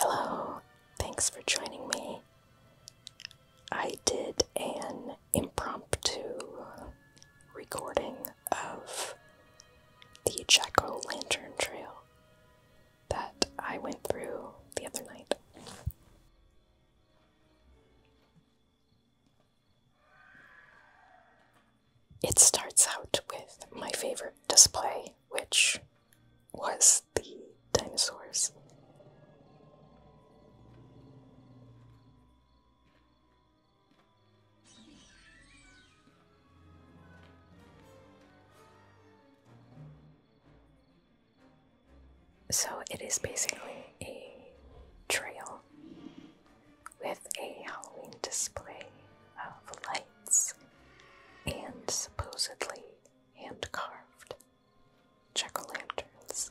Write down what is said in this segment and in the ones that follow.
Hello, thanks for joining me. I did an impromptu recording of the Jack O' Lantern Trail that I went through the other night. It starts out with my favorite display, which was the dinosaurs. So it is basically a trail with a Halloween display of lights and supposedly hand carved jack o' lanterns.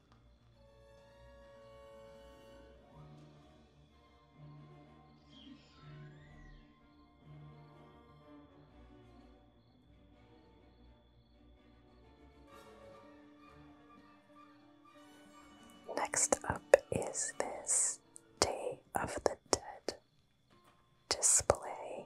Next up is this Day of the Dead display.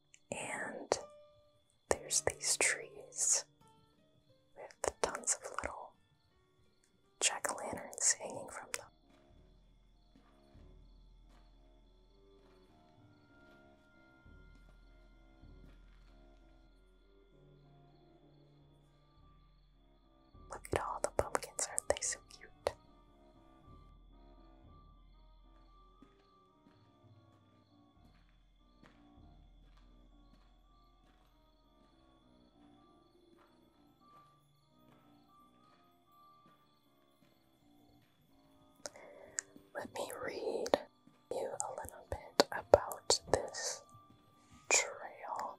And there's these trees with tons of little jack o' lanterns hanging from them. Look at all the pumpkins, aren't they so cute? Let me read you a little bit about this trail.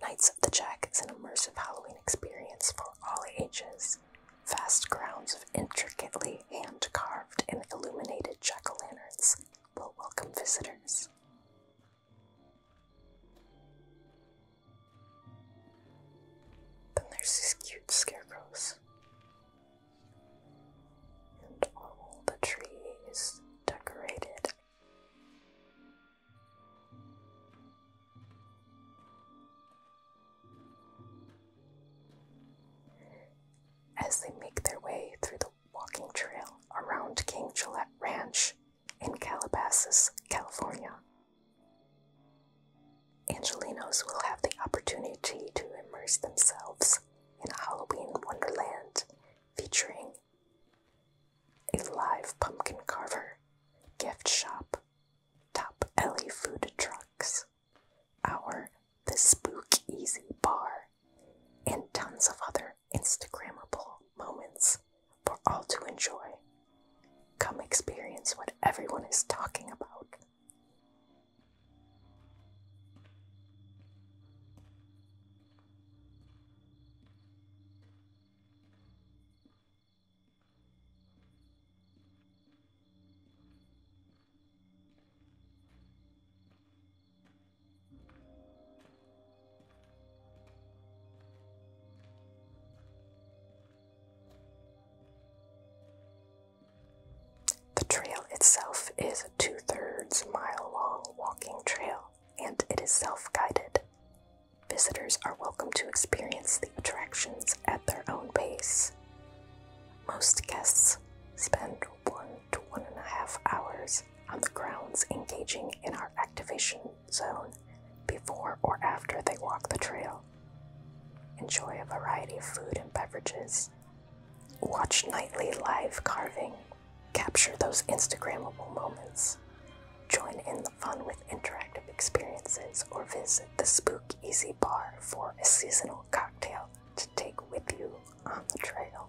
Knights of the Jack is an immersive Halloween experience for all ages. Vast grounds of intricately hand carved and illuminated jack o' lanterns will welcome visitors. Then there's these cute scarecrows. And all the tree decorated. As they make their way through the walking trail around King Gillette Ranch, in Calabasas, California. Angelinos will have the opportunity to immerse themselves in Halloween Wonderland featuring a live pumpkin carver, gift shop, top alley food trucks, our The Spook Easy Bar, and tons of other Instagrammable moments for all to enjoy. Come experience what everyone is talking about. The trail itself is a two thirds mile long walking trail and it is self guided. Visitors are welcome to experience the attractions at their own pace. Most guests spend one to one and a half hours on the grounds engaging in our activation zone before or after they walk the trail. Enjoy a variety of food and beverages. Watch nightly live carving. Capture those Instagrammable moments. Join in the fun with interactive experiences or visit the Spook Easy Bar for a seasonal cocktail to take with you on the trail.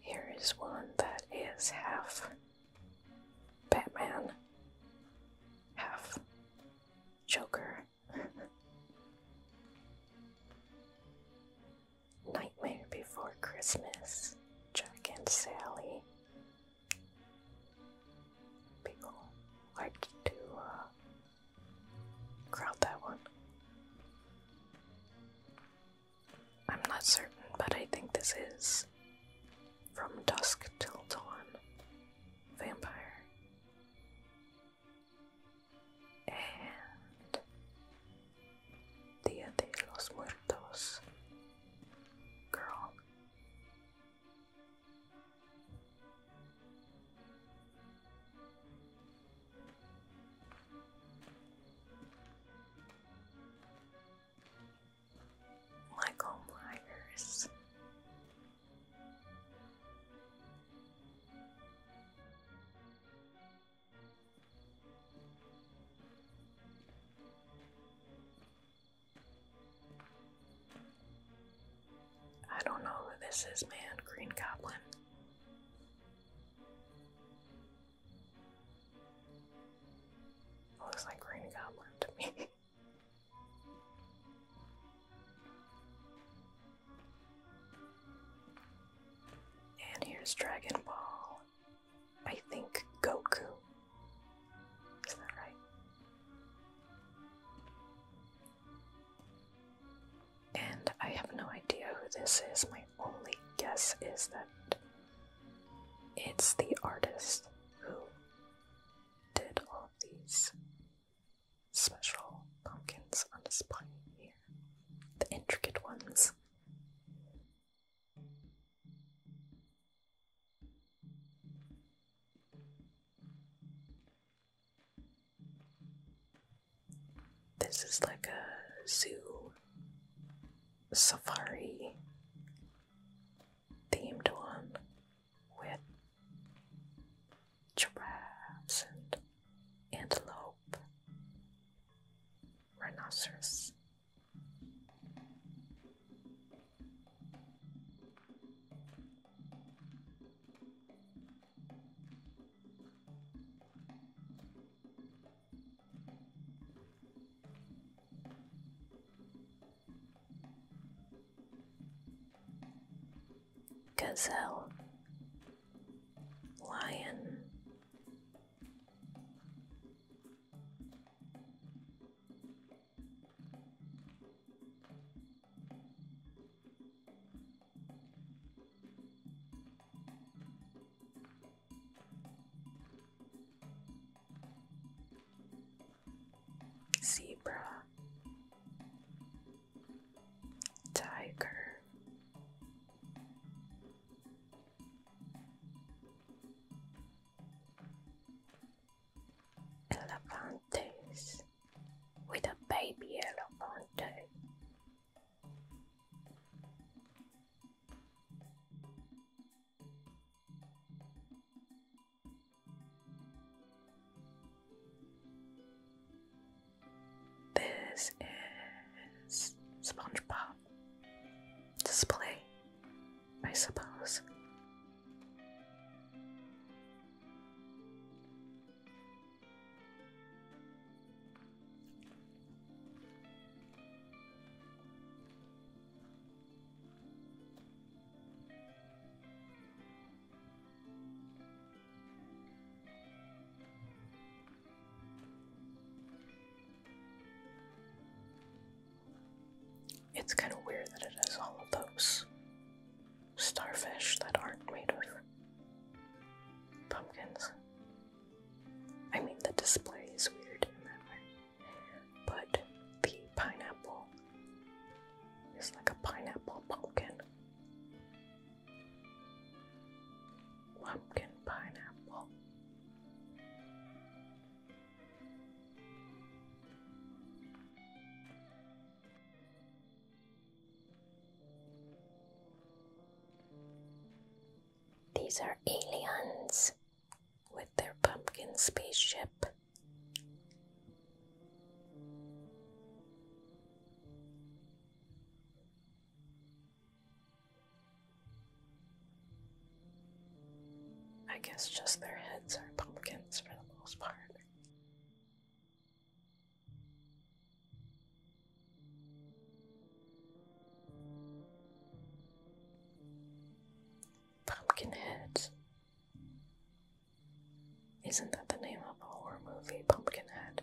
Here is one that is half Batman, half Joker. Nightmare Before Christmas, Jack and Sally. People like to uh, crowd that one. I'm not certain, but I think this is From Dusk Till Dawn Vampire. And Dia de los Muertos Girl. Michael Myers. I don't know who this is, man. Green Goblin. Looks like Green Goblin to me. and here's Dragon Ball. I think Goku. Is that right? and I have no idea who this is. My only guess is that it's the artist who did all these special pumpkins on display here. The intricate ones. This is like a zoo safari themed one with giraffes and antelope, rhinoceros. Gazelle, Lion, Zebra, Tiger, Elefantes with a baby elephant. This is SpongeBob display, I suppose. It's kind of weird that it has all of those starfish that aren't made of pumpkins. I mean, the display is weird in that way, but the pineapple is like a pineapple pumpkin. Pumpkin pineapple. These are aliens with their pumpkin spaceship. I guess just their heads are pumpkins for the most part. Pumpkinhead. Isn't that the name of a horror movie, Pumpkinhead?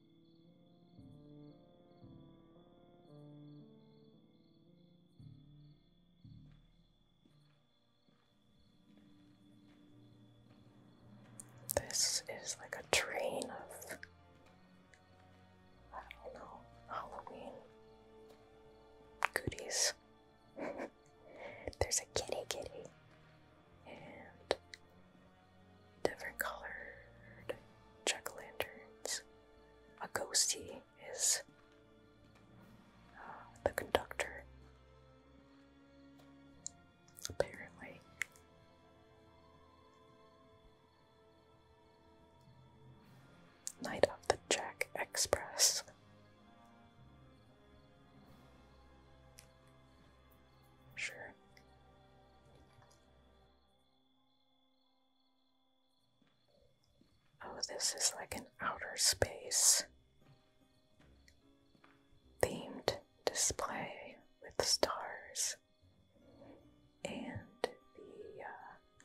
This is like a train of, I don't know, Halloween goodies. There's a kitty kitty and different colored jack lanterns. A ghostie is uh, the conductor, apparently. Night of the Jack Express. Sure. Oh, this is like an outer space themed display with stars and the uh,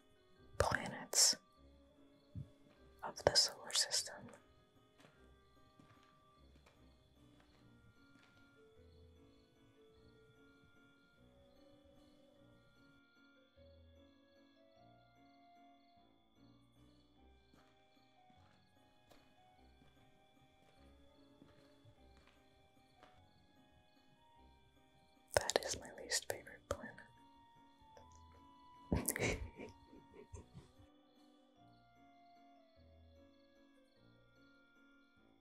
planets of the solar system. That is my least favorite planet.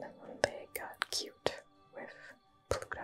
Then one day got cute with Pluto.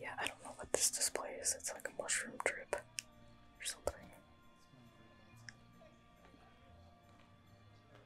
Yeah, I don't know what this display is. It's like a mushroom drip or something.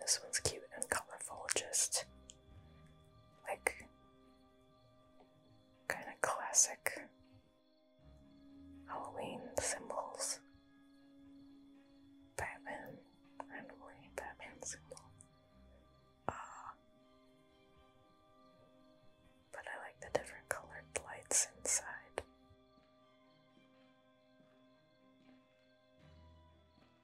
This one's cute and colorful, just like kind of classic Halloween symbols. Batman, randomly Batman symbol. Uh, but I like the different colored lights inside.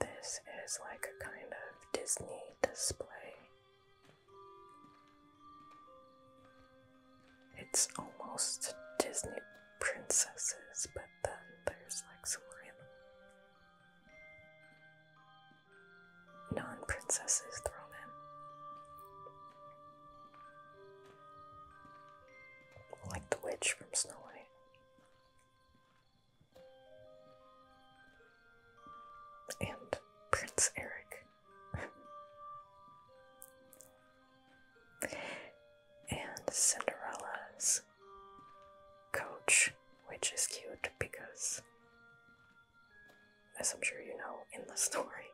This is like a kind of Disney display it's almost Disney princesses, but then there's like some random non princesses thrown in. Like the witch from Snow White and Prince Eric. and Cinderella's coach, which is cute because, as I'm sure you know in the story,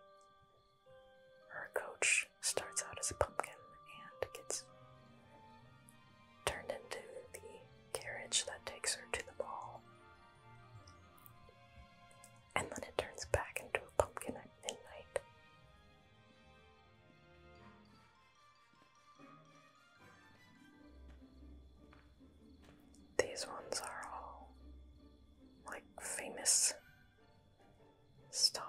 her coach starts out as a pumpkin and gets turned into the carriage that takes her to the ball and then it turns back into a pumpkin at midnight. These ones are all like famous stars.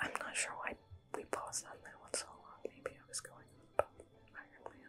I'm not sure why we paused on that one so long. Maybe I was going on about Iron Man.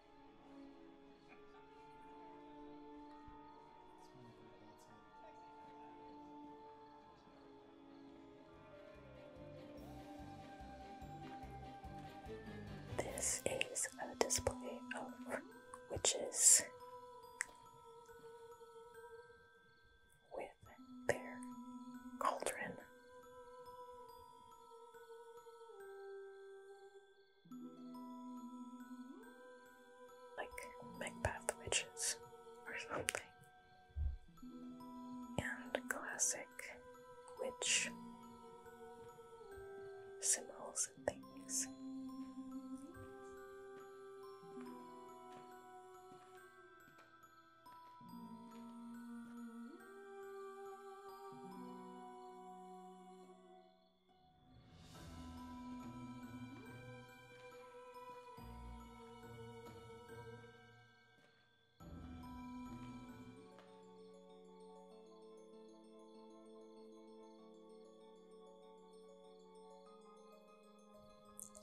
This is a display of witches with their cauldron like Macbeth witches or something. And classic witch symbols and things.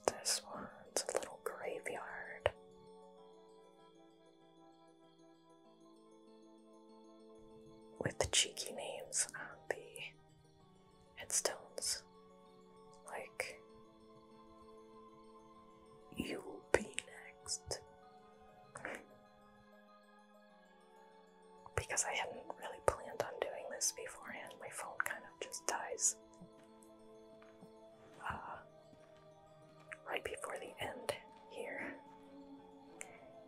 This one's a little graveyard with the cheeky names on the headstones, like You'll Be Next. because I hadn't really planned on doing this beforehand, my phone kind of just dies. Uh, right before the end here.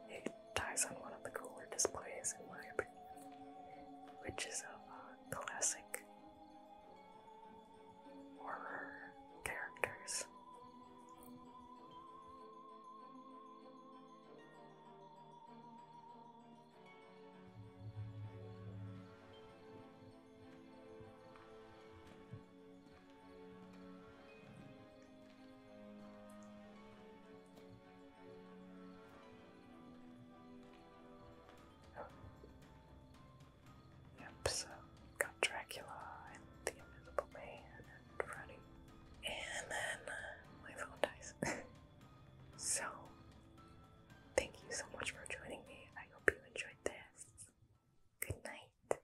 It ties on one of the cooler displays, in my opinion, which is of uh, classic horror characters. Yep, so got Dracula and the Invisible Man and Freddy. And then uh, my phone dies. so, thank you so much for joining me. I hope you enjoyed this. Good night.